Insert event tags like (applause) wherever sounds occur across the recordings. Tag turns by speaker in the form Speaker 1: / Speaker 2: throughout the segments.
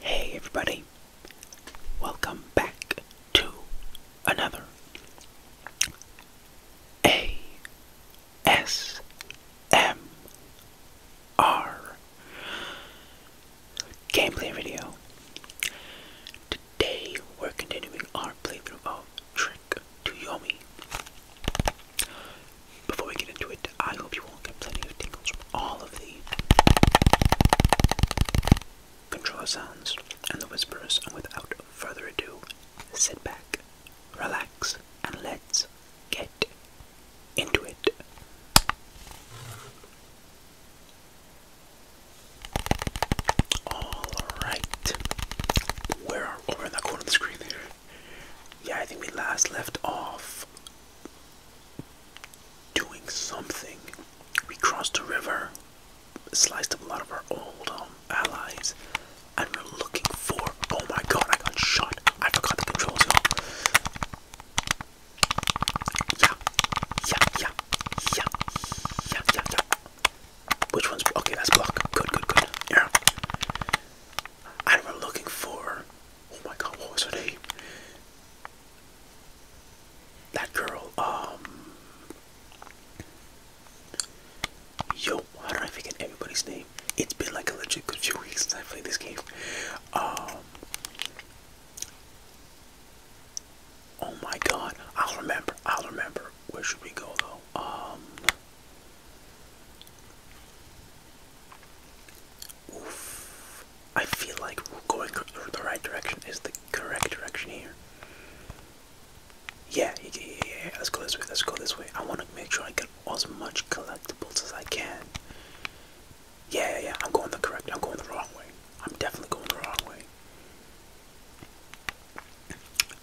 Speaker 1: Hey everybody, welcome back to another a S M R gameplay video. Today we're continuing our playthrough of Trick to Yomi. Before we get into it, I hope you all get plenty of tingles from all of the control sounds, and the whispers, and without further ado, sit back, relax, and let's get into it. Alright. Where are over in that corner of the screen Yeah, I think we last left off doing something we crossed the river, sliced up a lot of our old um, allies, and we are looking for. Oh my god, I got shot! I forgot the controls, you Yeah, yeah, yeah, yeah, yeah, yeah, yeah. Which one's okay? That's block. Good, good, good. Yeah. And we're looking for. Oh my god, what was her name? That girl, um, Yo, how do I forget everybody's name? It's been like a legit good few weeks since I played this game. Um, oh my god, I'll remember, I'll remember. Where should we go though? Um, oof. I feel like going the right direction is the correct direction here yeah, yeah, yeah, let's go this way, let's go this way. I want to make sure I get as much collectibles as I can. Yeah, yeah, I'm going the correct, I'm going the wrong way. I'm definitely going the wrong way.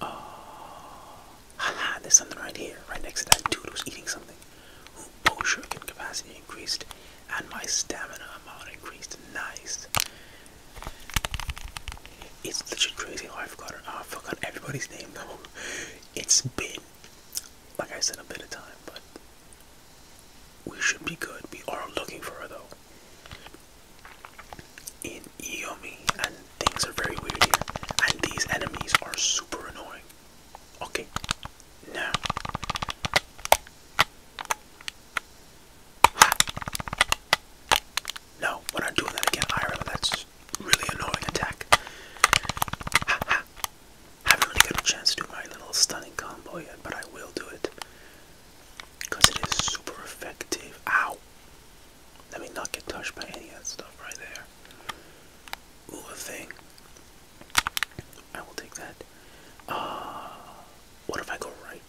Speaker 1: Uh, there's something right here, right next to that dude who's eating something. Bow shuriken capacity increased, and my stamina amount increased. Nice. It's literally crazy how I forgot I forgot everybody's name though. It's been like I said a bit of time, but we should be good. We are looking for her though. In Yomi, and things are very weird here. And these enemies are super annoying. Okay, now no, we're not doing that again. I remember that's really annoying attack. I haven't really got a chance to do my little stunning combo yet, but I will do it. Because it is super effective. Ow. Let me not get touched by any of that stuff right there. Ooh, a thing. I will take that. Uh, what if I go right?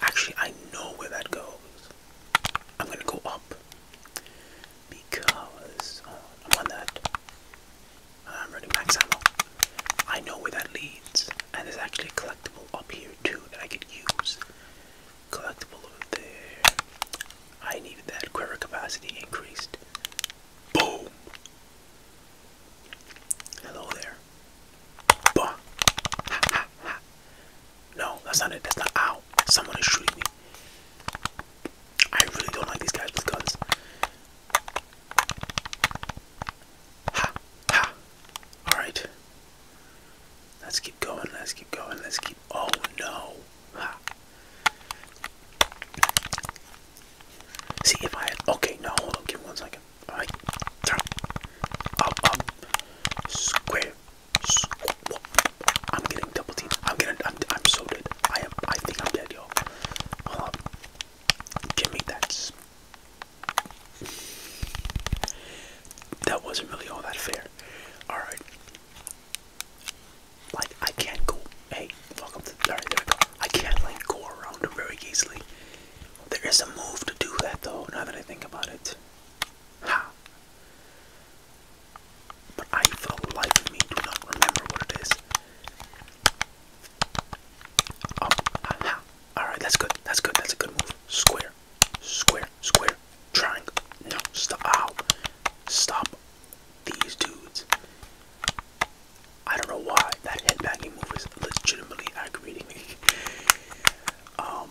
Speaker 1: Actually, I know where that goes. I'm gonna go up because uh, I'm on that. I'm running max I know where that leads, and there's actually a collectible up here too that I could use. Collectible over there. I needed that quiver capacity increased. Boom! Hello there. Bah. No, that's not it. That's not. Ow. Someone is shooting me. I really don't like these guys with guns. Ha. Ha. Alright. Let's keep going. Let's keep going. Let's keep. Oh no. See if I had. Okay, now hold on, give me one second. Alright, up, up, um, um, square, square. I'm getting double teamed. I'm getting. I'm, so dead. I am. I think I'm dead, y'all. Hold on. Give me that. That wasn't really all that fair. Alright. Like, I can't go Hey, welcome to. Alright, I can't like go around very easily. There is a move to do that though, now that I think about it. Ha! But I, for the me, do not remember what it is. Um, oh, ha, Alright, that's good. That's good. That's a good move. Square. Square. Square. Triangle. No, stop. Stop these dudes. I don't know why that headbanging move is legitimately aggravating me. (laughs) um,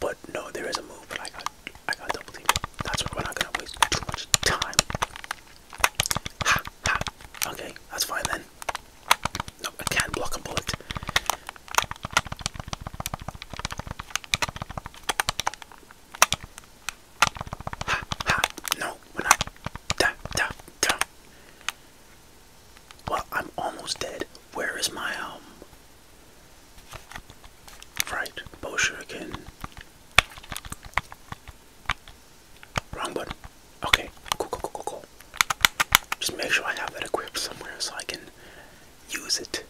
Speaker 1: but no, there is a move, but I got I got double team. That's why We're not gonna waste too much time. Ha ha. Okay, that's fine then. No, I can't block a bullet. No, we're not. Well, I'm almost dead. Where is my um? Right, bow shuriken. Wrong button. Okay, cool, cool, cool, cool, Just make sure I have that equipped somewhere so I can use it.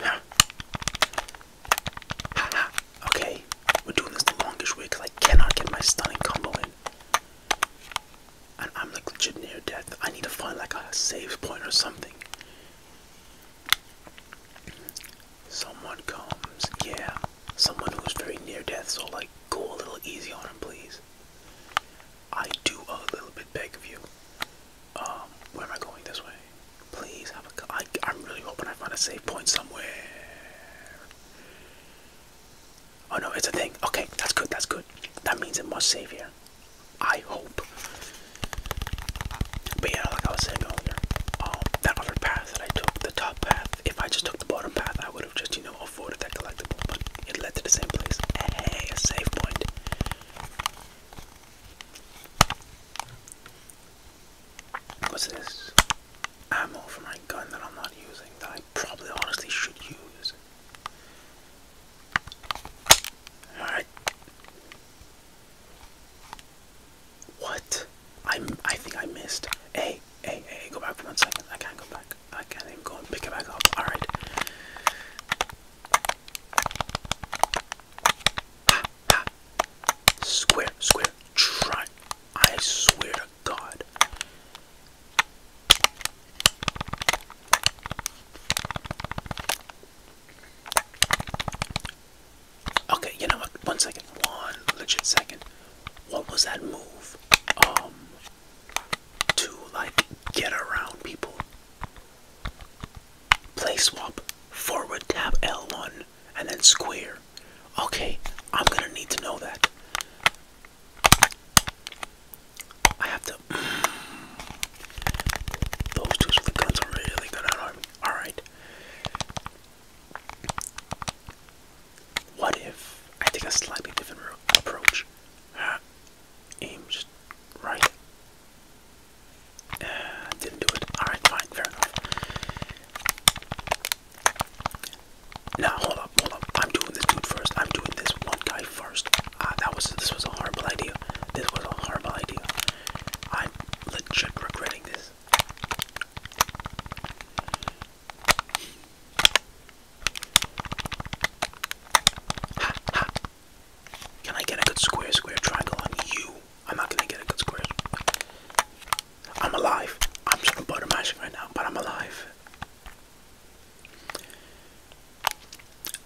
Speaker 1: Ha. Okay, we're doing this the longest way because I cannot get my stunning combo in. And I'm like legit near death. I need to find like a save point or something. Someone comes, yeah. Someone who's very near death, so like go a little easy on him, please. I do a little bit beg of you. Um, where am I going this way? Please have a. I, I'm really hoping I find a save point somewhere. Oh no, it's a thing. Okay, that's good, that's good. That means it must save here. I hope. But yeah, like I was saying earlier, um, that other path that I took, the top path, if I just took the bottom path, I would have just, you know, avoided that collectible, but it led to the same place. Hey, a safe point. What's this? Ammo for my gun that I'm not using, that I probably honestly should use. Alright. What? I, I think I missed. A. hey, hey, go back for one second. I can't go back. I can't even go and pick it back up. Alright. Ah, ah. Square, square, try. I swear to God. Okay, you know what? One second. One legit second. What was that move? Um, to like get around people. Play swap, forward tap L1, and then square. Okay, I'm gonna need to know that. I have to. (sighs) those dudes with the guns are really good Alright. What if I take a slightly different approach? aim just right. Uh, didn't do it. Alright, fine, fair enough. Now hold up, hold up. I'm doing this dude first. I'm doing this one guy first. Ah, that was this was a horrible idea. This was a horrible idea. I'm legit regretting this. Can I get a good square, square triangle on you? I'm not gonna get a good square. I'm alive. I'm just gonna butter magic right now, but I'm alive.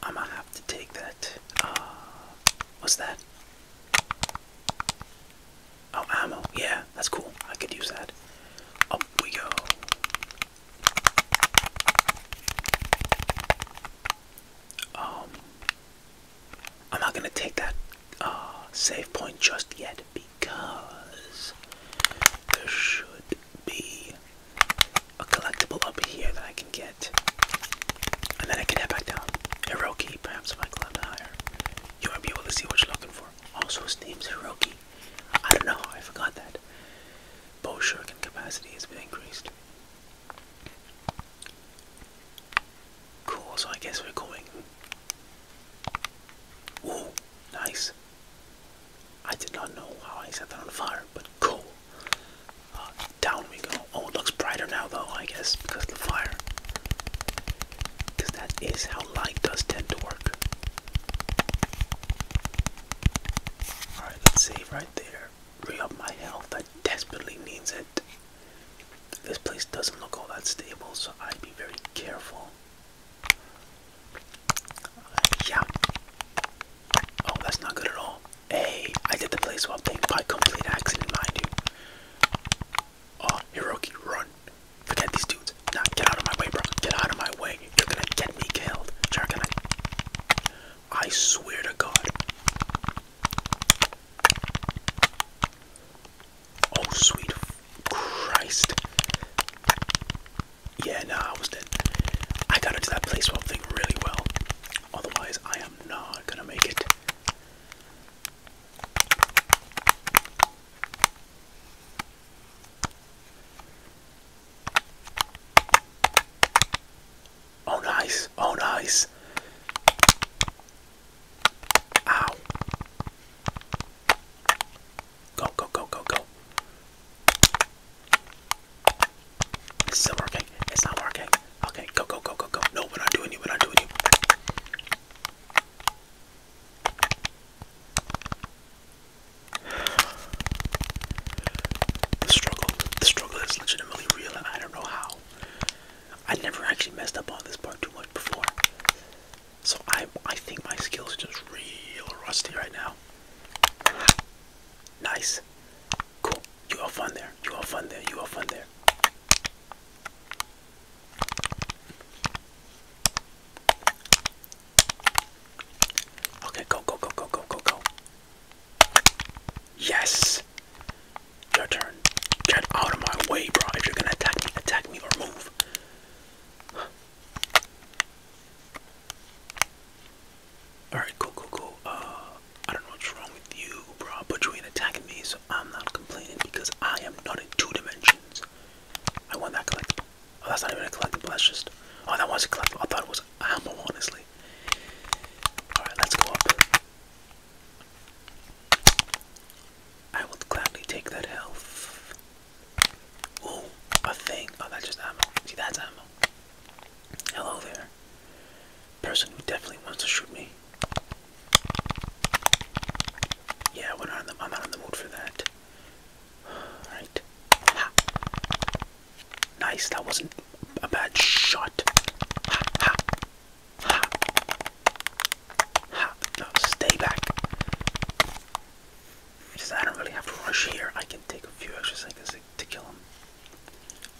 Speaker 1: I'm gonna have to take that. Uh, what's that? Oh, ammo. Yeah, that's cool. I could use that. Up we go. Um, I'm not going to take that uh, save point just yet because there should be a collectible up here that I can get. And then I can head back down. Hiroki, perhaps if I climb higher, you won't be able to see what you're looking for. Also, steams name's Hiroki. I don't know, I forgot that. Bow shuriken capacity has been increased. Cool, so I guess we're going. Oh, nice. I did not know how I set that on fire, but cool. Uh, down we go. Oh, it looks brighter now, though, I guess, because of the fire. Because that is how light does tend to work. Alright, let's save right there. Re up my health. That desperately needs it. This place doesn't look all that stable, so I'd be very careful. Uh, yeah. Oh, that's not good at all. Hey, I did the place swap thing by complete accident, mind you. Oh, Hiroki, run. Forget these dudes. Nah, get out of my way, bro. Get out of my way. You're gonna get me killed. you I swear to God. Oh, sweet Christ. Yeah, nah, I was dead. I got into that place one thing really well. Otherwise, I am not gonna make it. Oh nice, oh nice. Ow. Go, go, go, go, go. It's still working. It's not working. Okay, go, go, go, go, go. No, we're not doing you, we're not doing you. The struggle, the struggle is legitimately real and I don't know how. I never actually messed up on this part too much before. So I I think my skills are just real rusty right now. (sighs) Nice. Cool. You have fun there. You have fun there. You have fun there. Okay, go, go, go, go, go, go, go. Yes! Your turn. Get out of my way, bro. If you're gonna attack me, attack me or move. Alright, cool, cool, cool. Uh, I don't know what's wrong with you, bro, but you ain't attacking me, so I'm not complaining because I am not in two dimensions. I want that collectible. Oh, that's not even a collectible, that's just. Oh, that was a collectible. I thought it was ammo, honestly. Alright, let's go up. I would gladly take that health. Oh, a thing. Oh, that's just ammo. See, that's ammo. Hello there. Person who definitely wants to shoot me. Yeah, we're not in the, I'm not in the mood for that. (sighs) Alright. Nice, that wasn't a bad shot. Ha ha ha stay back. Because I don't really have to rush here. I can take a few extra seconds to, kill him.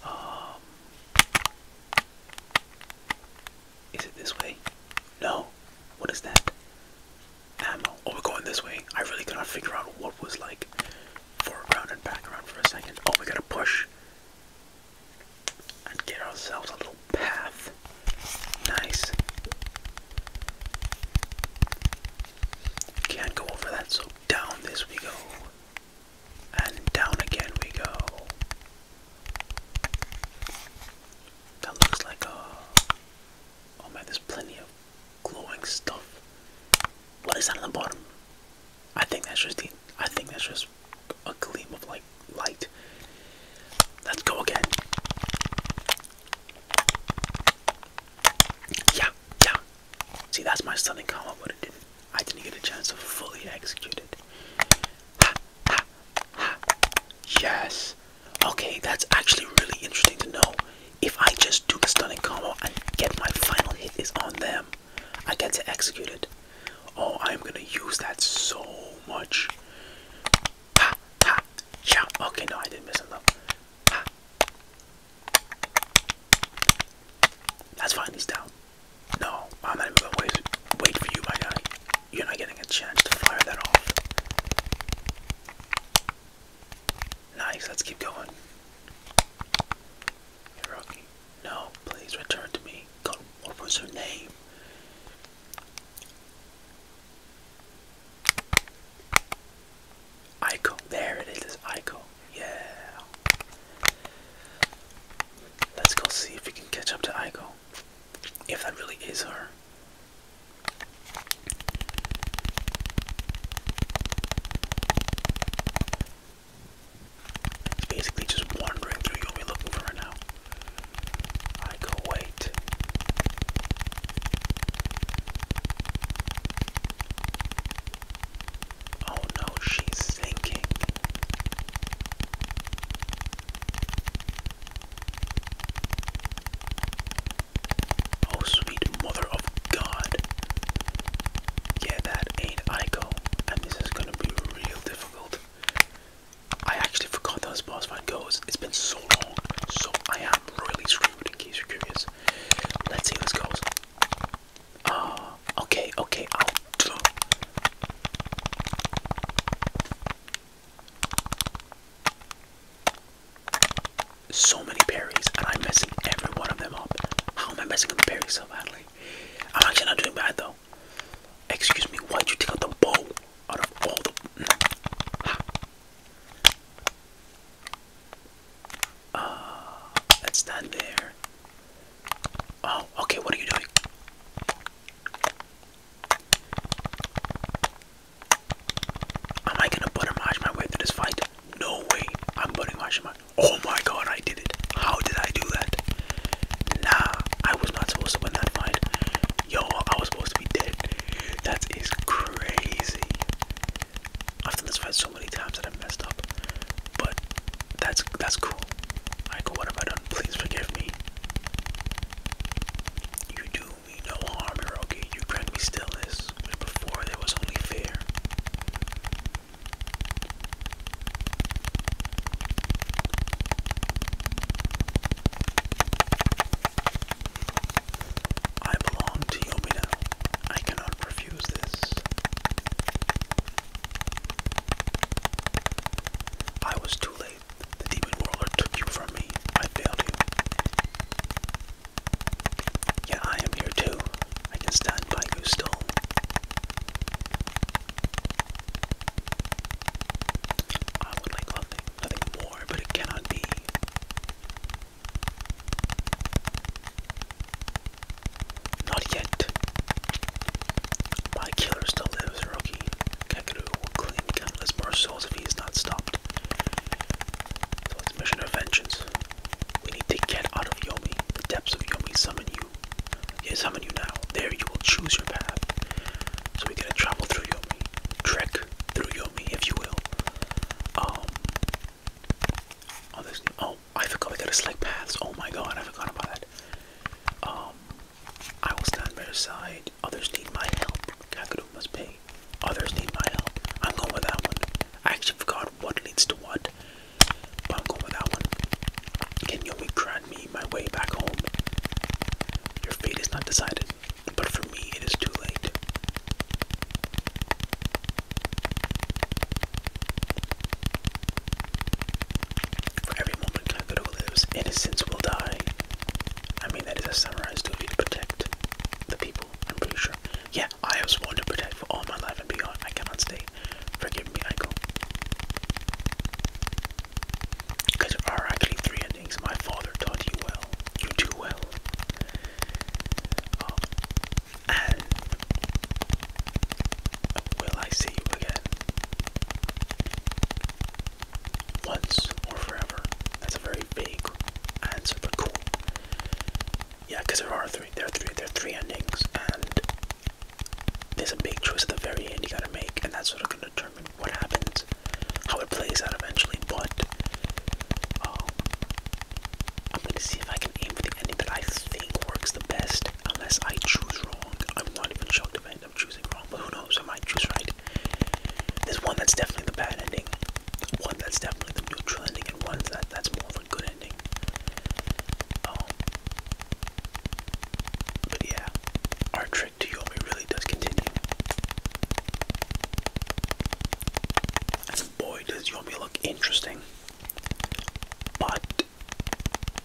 Speaker 1: Um, is it this way? No. What is that? Ammo. Oh, we're going this way. I really could not figure out what was like foreground and background for a second. Oh, we gotta push and get ourselves a little path. Nice. Can't go over that, so down this we go. And down again we go. That looks like a. Uh, oh man, there's plenty of glowing stuff. What is that on the bottom? I think that's just the I think that's just a gleam of like light. Let's go again. Yeah, yeah. See, that's my stunning combo, but it did I didn't get a chance to fully execute it. Ha, ha, ha. Yes. Okay, that's actually really interesting to know. If I just do the stunning combo and get my final hit is on them, I get to execute it. Oh, I'm gonna use that so much. Okay, no, I didn't miss enough. Pa. That's fine, he's down. No, I'm not even going wait for you, my guy. You're not getting a chance to fire that off. Nice, let's keep going no, please return to me. God, what was her name? Aiko, there it is, Aiko, yeah. Let's go see if we can catch up to Aiko. If that really is her. It's basically just wandering through. You'll be looking for her now. I go wait. Oh no, she's sinking. Oh, sweet mother of God yeah, that ain't Ico, and this is gonna be real difficult. I actually forgot those this boss fight goes. It's been so long, so I am really screwed. In case you're curious, let's see what's this goes. Ah, okay, okay, I'll do so many berries and I'm messing every one of them up. How am I messing up the berries so badly? I'm actually not doing bad though. Excuse me, why'd you take out the bow out of all the. Uh, let's there. Oh, okay, what are you doing? Am I gonna butter mash my way through this fight? No way, I'm butter mashing my. Oh my god, I did it. How did I do that? Nah, I was not supposed to win that fight. Yo, I was supposed to be dead. That is crazy. I've done this fight so many times that I messed up. But that's that's cool. Michael, what have I done? Please forgive me. You do me no harm, Hiroki. You grant me stillness before there was only fear. I belong to Yomina. I cannot refuse this. I was too late. The demon warlord took you from me. I failed you. Yeah, I am here too. I can stand by you still. I would like nothing, nothing more, but it cannot be. Not yet. My killer still lives, Rocky. Kangaroo will claim countless more souls if he is not stopped. it's mission of vengeance. We need to get out of Yomi. The depths of Yomi summon you. They summon you now. There you will choose your path. So we are going to travel through Yomi. Trek through Yomi, if you will. Um Oh oh I forgot we gotta select paths. Oh my god, I forgot about that. Um I will stand by your side. Others need my help. Kakadu must Others need my help. I'm going with that one. I actually forgot what leads to what, but I'm going with that one. Can you grant me my way back home? Your fate is not decided, but for me it is too late. For every moment Kageru lives, innocence will die. I mean, that is a summarized duty to protect the people, I'm pretty sure. Yeah, I have sworn to protect for all my life and beyond. I cannot stay. Forgive me, Michael. Because there are three endings. My father taught you well. You do well. Um, and will I see you again? Once or forever. That's a very vague and super cool. Yeah, because there are three, there are three, there are three endings, and there's a big choice at the very end you gotta make, and that's sort of gonna determine what happens, how it plays out eventually. But um, I'm gonna see if I can aim for the ending that I think works the best, unless I choose wrong. I'm not even shocked if I end up choosing wrong, but who knows? I might choose right. There's one that's definitely the bad ending, one that's definitely the neutral ending, and one that that's more of a good ending. Um, but yeah, our trick to Yomi really does continue. boy, does Yomi look interesting. But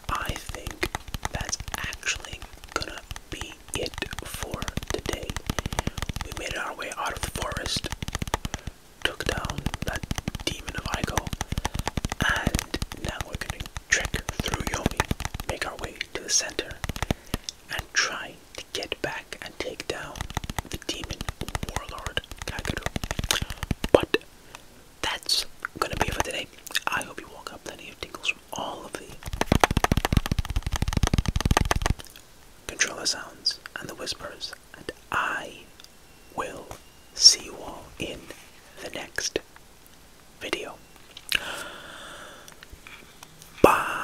Speaker 1: I think that's actually gonna be it for the We made our way out of the forest, took down that demon of Ico, and now we're gonna trek through Yomi, make our way to the center, and try to get back and take down the demon warlord Kaguru. But that's gonna be it for today. I hope you woke up plenty of tingles from all of the control the sounds and the whispers, and I will see you all in the next video. Bye.